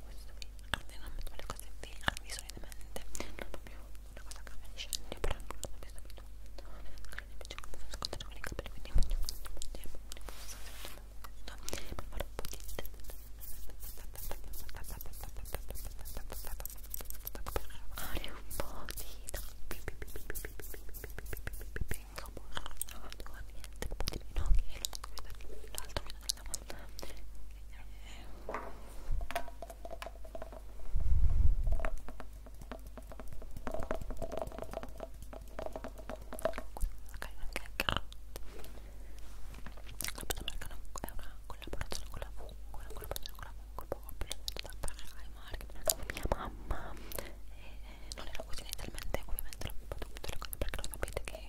questo qui almeno metto le cose qui al viso in mente non proprio una cosa che mi discende però non l'ho visto più magari mi piace come sono scontato con i capelli quindi faccio un po' di tempo mi posso sentire un po' di fare un po' di pinco burro no niente un po' di pinocchio e l'altro mi collaborazione con la fungo, una collaborazione con la fungo, proprio da parlare ai mia mamma e eh, non era così inizialmente, ovviamente l'ho un po' tutte le cose perché lo sapete che